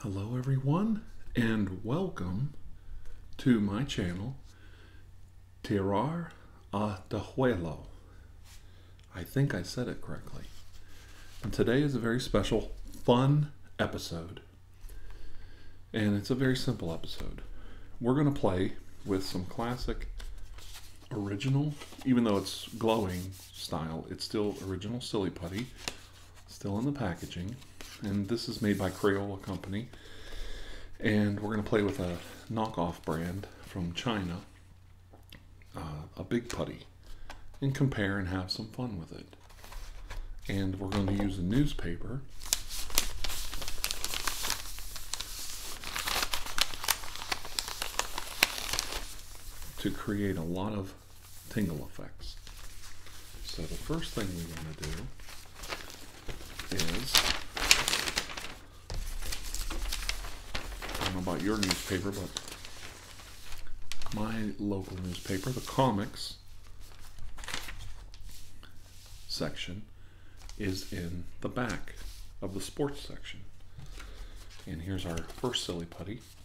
Hello everyone and welcome to my channel Tirar Atahuelo. I think I said it correctly. And today is a very special, fun episode. And it's a very simple episode. We're going to play with some classic original, even though it's glowing style. It's still original Silly Putty, still in the packaging. And this is made by Crayola Company. And we're going to play with a knockoff brand from China, uh, a big putty, and compare and have some fun with it. And we're going to use a newspaper to create a lot of tingle effects. So the first thing we want to do is I don't know about your newspaper, but my local newspaper, the comics section, is in the back of the sports section. And here's our first silly putty feet.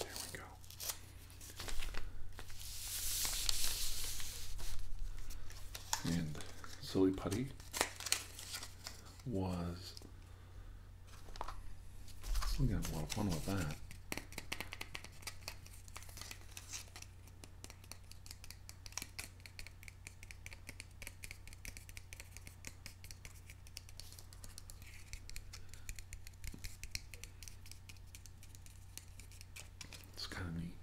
There we go. And Silly Putty was. Still gonna have a lot of fun with that. It's kind of neat.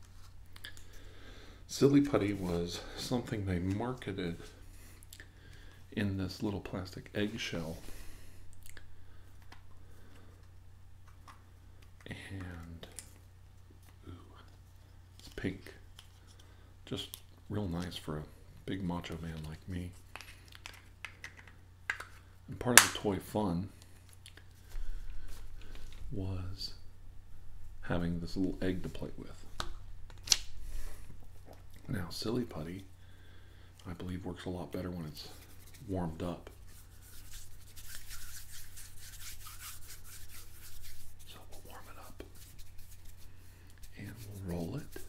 Silly putty was something they marketed in this little plastic eggshell. And it's pink. Just real nice for a big macho man like me. And part of the toy fun was having this little egg to play with. Now, Silly Putty, I believe, works a lot better when it's warmed up. So we'll warm it up and we'll roll it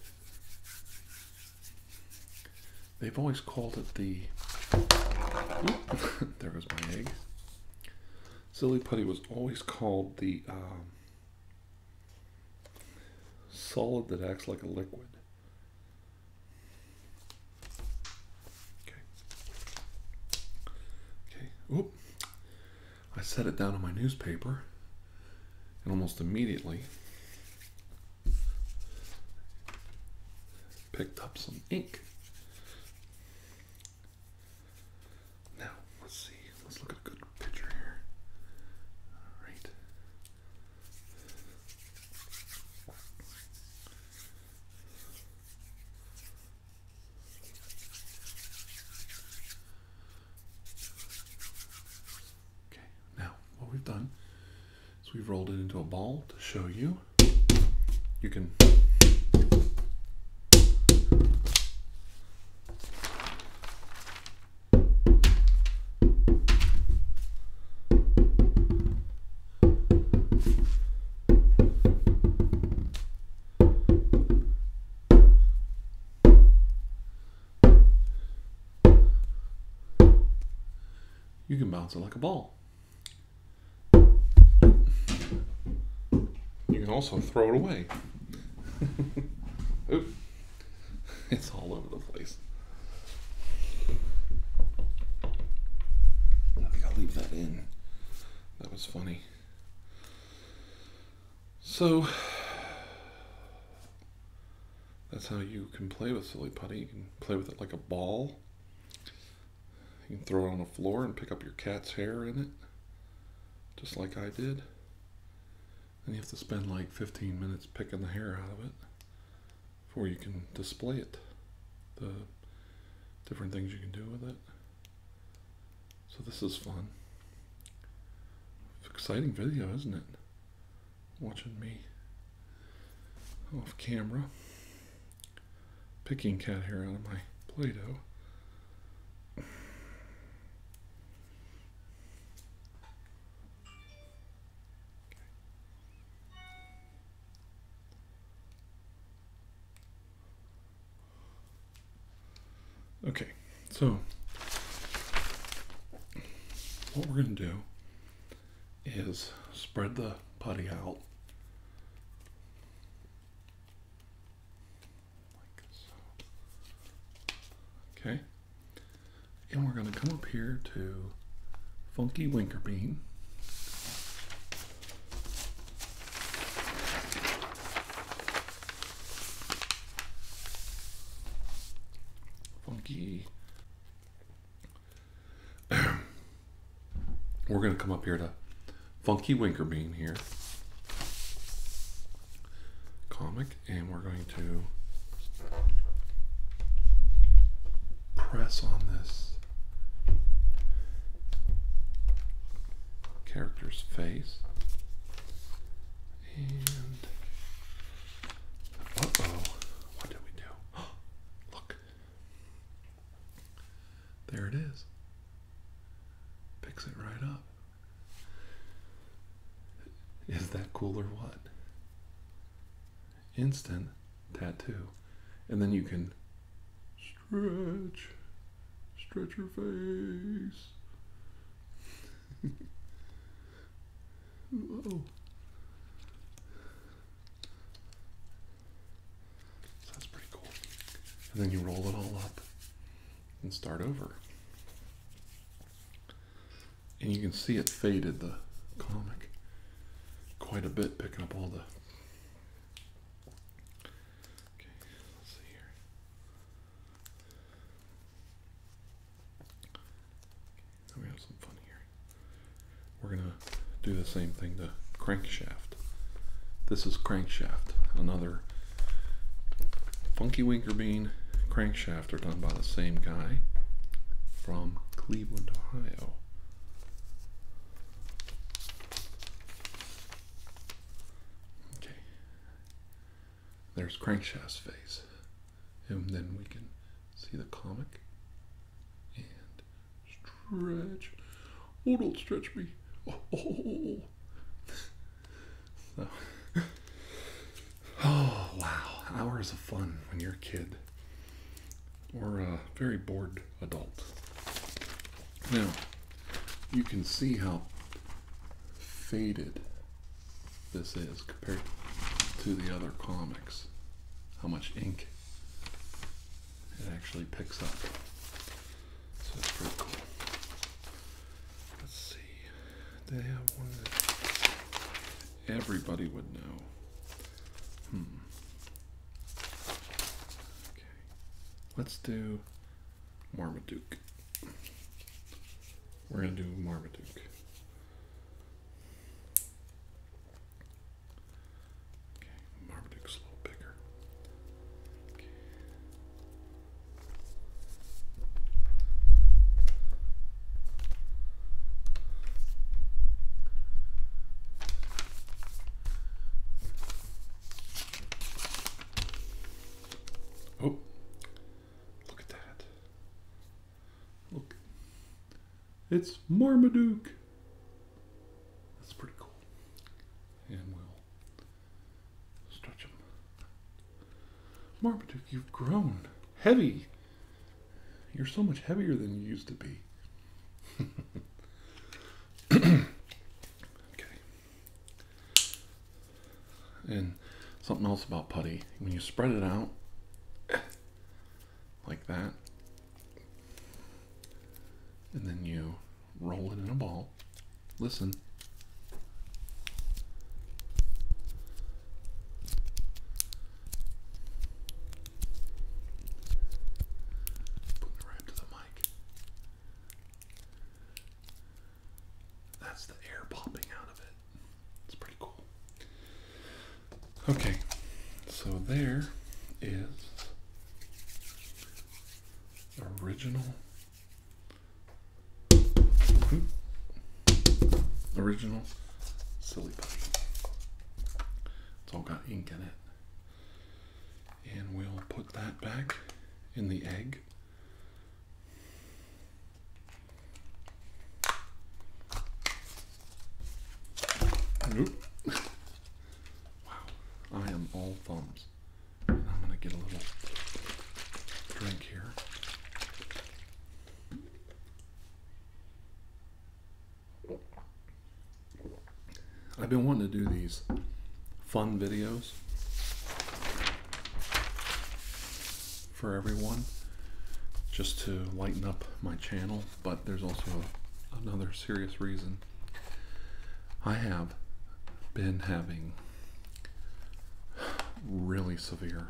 They've always called it the. there goes my egg. Silly putty was always called the um, solid that acts like a liquid. Okay. Okay. Oop. I set it down on my newspaper, and almost immediately Picked up some ink. Now, let's see. Let's look at a good picture here. All right. Okay, now what we've done so we've rolled it into a ball to show you. You can you can bounce it like a ball. You can also throw it away. Oop. It's all over the place. I think I'll leave that in. That was funny. So, that's how you can play with silly putty. You can play with it like a ball. You can throw it on the floor and pick up your cat's hair in it, just like I did. And you have to spend like 15 minutes picking the hair out of it before you can display it. The different things you can do with it. So this is fun. exciting video, isn't it? watching me off camera, picking cat hair out of my Play Doh. Okay, so what we're going to do is spread the putty out Okay. And we're going to come up here to Funky Winker Bean. Funky we're going to come up here to Funky Winkerbean here. Comic, and we're going to press on this character's face. And oh, what did we do? Look. There it is. Picks it right up. Is that cool or what? Instant tattoo. And then you can stretch, stretch your face. that's pretty cool. And then you roll it all up and start over. And you can see it faded the comic quite a bit, picking up all the. Okay, let's see here. Let me have some fun here. We're gonna do the same thing to crankshaft. This is crankshaft, another funky winker bean crankshaft are done by the same guy from Cleveland, Ohio. Okay. There's crankshaft's face and then we can see the comic and stretch. Oh, don't stretch me. Oh, oh, oh, oh, so, oh wow, hours of fun when you're a kid or a very bored adult. Now, you can see how faded this is compared to the other comics how much ink it actually picks up. So it's pretty cool. Let's see. They have one that everybody would know. Hmm. Okay. Let's do Marmaduke. We're going to do Marmaduke. Okay, Marmaduke's a little bigger. Okay. Oh, look at that. Look, it's Marmaduke. That's pretty cool. And we'll stretch him. Marmaduke, you've grown heavy. You're so much heavier than you used to be. okay. And something else about putty when you spread it out, like that. And then you roll it in a ball. Listen. Put it right to the mic. That's the air popping out of it. It's pretty cool. Okay, so there is original original silly putty. It's all got ink in it. And we'll put that back in the egg. Nope. wow, I am all thumbs. I'm gonna get a little drink here. I've been wanting to do these fun videos for everyone just to lighten up my channel, but there's also another serious reason. I have been having really severe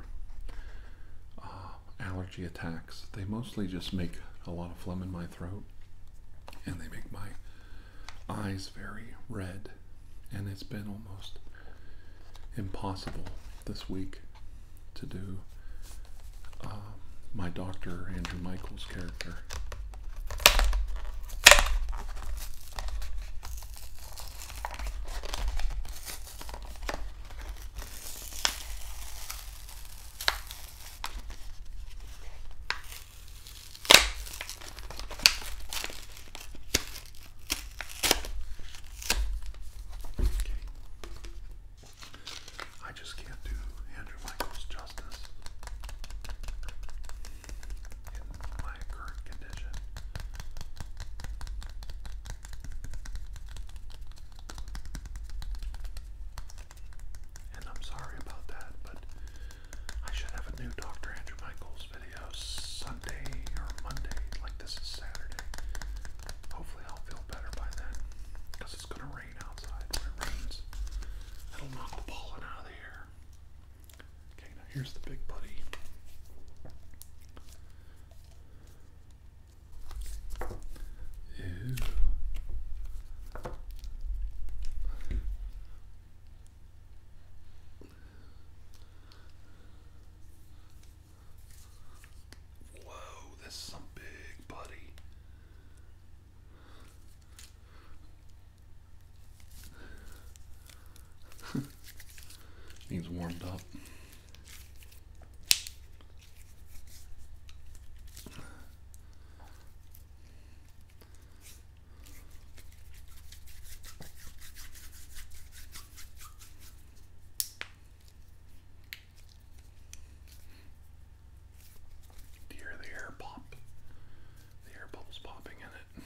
uh, allergy attacks. They mostly just make a lot of phlegm in my throat and they make my eyes very red. And it's been almost impossible this week to do um, my doctor, Andrew Michael's character. I just can't do Andrew Michaels justice in my current condition. And I'm sorry about that, but I should have a new Dr. Andrew Michaels video Sunday or Monday, like this is Saturday. Hopefully, I'll feel better by then because it's going to rain outside. When it rains, it'll knock the pollen out of here. Okay, now here's the big buddy. Ew. Whoa, this is some big buddy. Needs warmed up you hear the air pop? The air bubbles popping in it.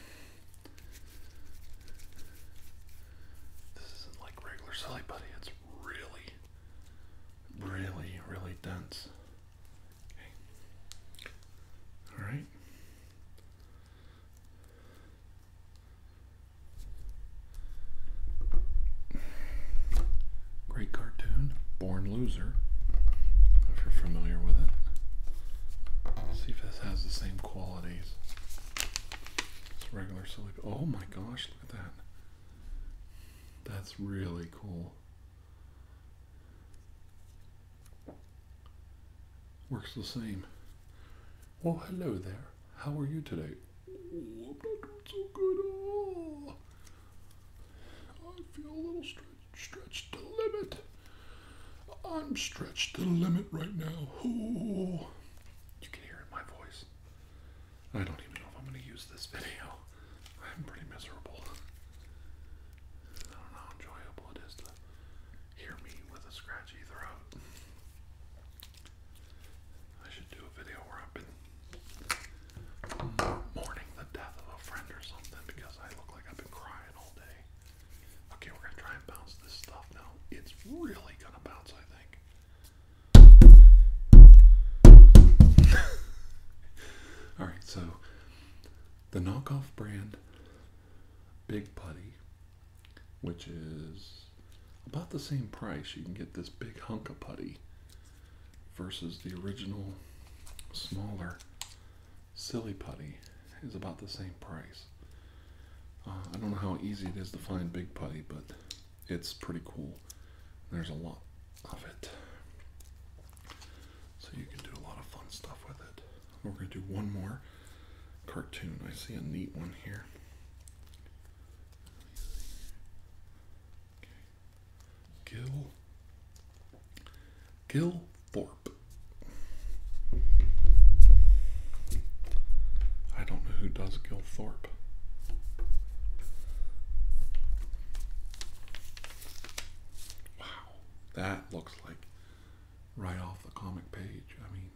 This isn't like regular silly buddy, it's really, really, really dense. Okay. Alright. Great cartoon, Born Loser, if you're familiar with it. see if this has the same qualities. It's regular silly. Oh my gosh, look at that. That's really cool. Works the same. Oh hello there. How are you today? Oh, I'm not doing so good at all. I feel a little stretched, stretched to the limit. I'm stretched to limit right now. Oh. You can hear in my voice. I don't even know if I'm going to use this video. I'm pretty miserable. I don't know how enjoyable it is to hear me with a scratchy throat. I should do a video where I've been mourning the death of a friend or something because I look like I've been crying all day. Okay, we're gonna try and bounce this stuff now. It's really gonna bounce, I think. Alright, so the knockoff brand Big Putty which is about the same price. You can get this big hunk of putty versus the original smaller silly putty is about the same price. Uh, I don't know how easy it is to find big putty, but it's pretty cool. There's a lot of it. So you can do a lot of fun stuff with it. We're going to do one more cartoon. I see a neat one here. Gil Gil Thorpe. I don't know who does Gil Thorpe. Wow, that looks like right off the comic page. I mean,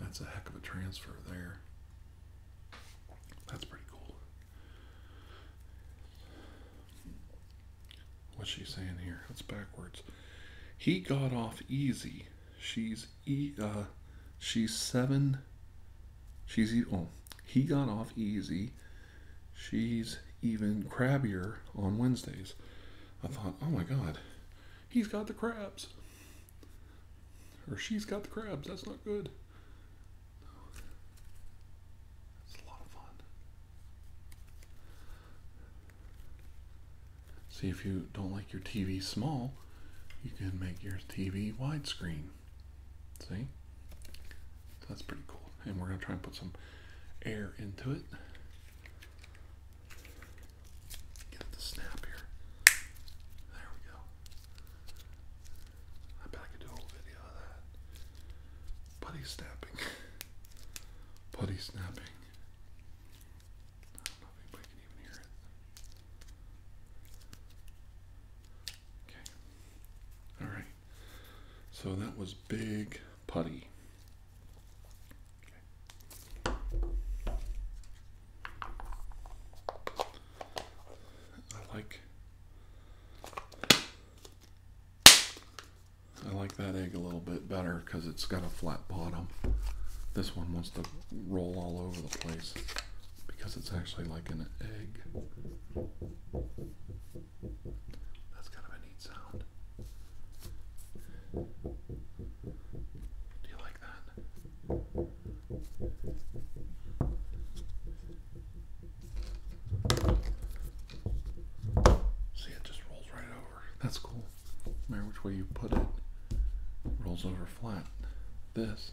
that's a heck of a transfer there. That's pretty cool. What's she saying here? It's backwards. He got off easy. She's e uh, she's seven. She's e oh, he got off easy. She's even crabbier on Wednesdays. I thought, oh my god, he's got the crabs. Or she's got the crabs. That's not good. It's a lot of fun. See, if you don't like your TV small, you can make your TV widescreen. See? that's pretty cool. And we're going to try and put some air into it. Get it snap here. There we go. I bet I could do a whole video of that. Putty snapping. Putty snapping. I don't know if anybody can even hear it. Okay. Alright. So that was Big Putty. I like I like that egg a little bit better because it's got a flat bottom. This one wants to roll all over the place because it's actually like an egg. That's kind of a neat sound. Do you like that? See, it just rolls right over. That's cool. No matter which way you put it, it rolls over flat. This.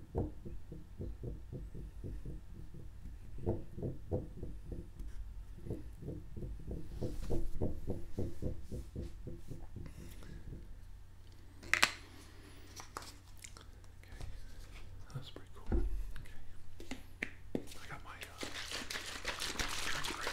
That's pretty cool. Okay. I got my uh, drink ready.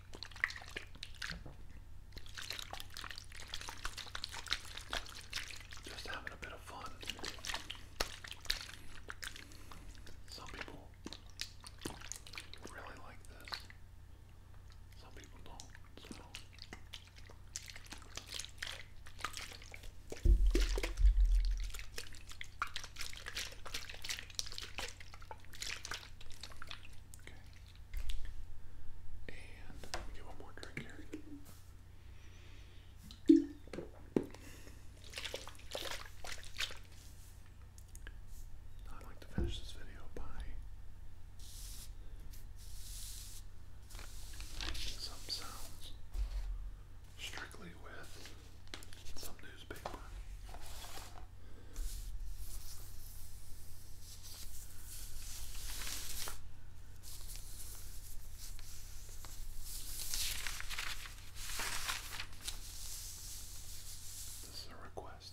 Just having a bit of fun. Some people really like this. Some people don't. So. Okay. And let me get one more drink here. I'd like to finish this video by some sounds strictly with some newspaper. This is a request.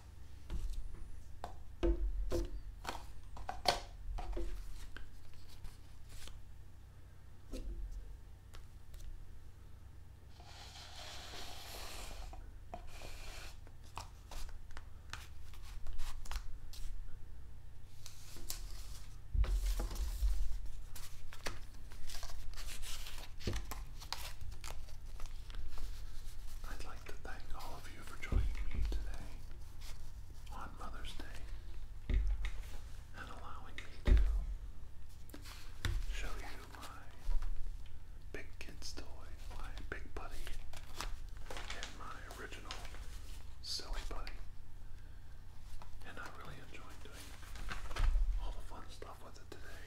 I'd like to thank all of of you for joining me today on Mother's Day and allowing me to show you my big kids toy, my big buddy, and my original silly buddy. And I really enjoyed doing all the fun stuff with it today.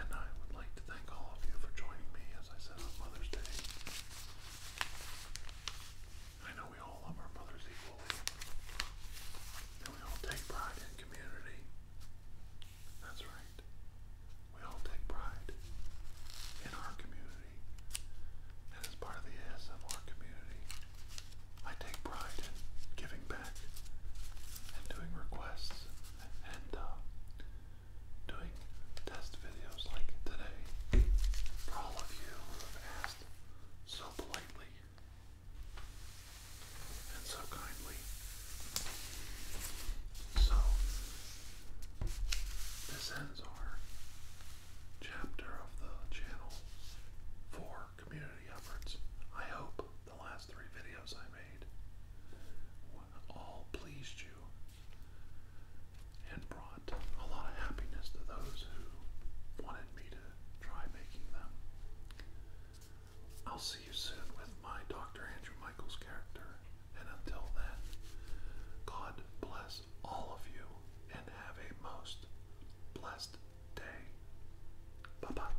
And I would like to thank thank all of you for joining me, as I said, on Mother's Day. I know we all love our mothers equally, and we all take pride in community. That's right. We all take pride in our community, and as part of the ASMR community, I take pride in giving back and doing requests and uh, doing test videos like today for all of you who have asked so politely and so kindly. So, this ends our chapter of the channel for community efforts. I hope the last three videos I made all pleased you and brought a lot of happiness to those who wanted me to try making them. I'll see you soon with my Dr. Andrew Michaels character, and until then, God bless all of you and have a most blessed day. Bye bye.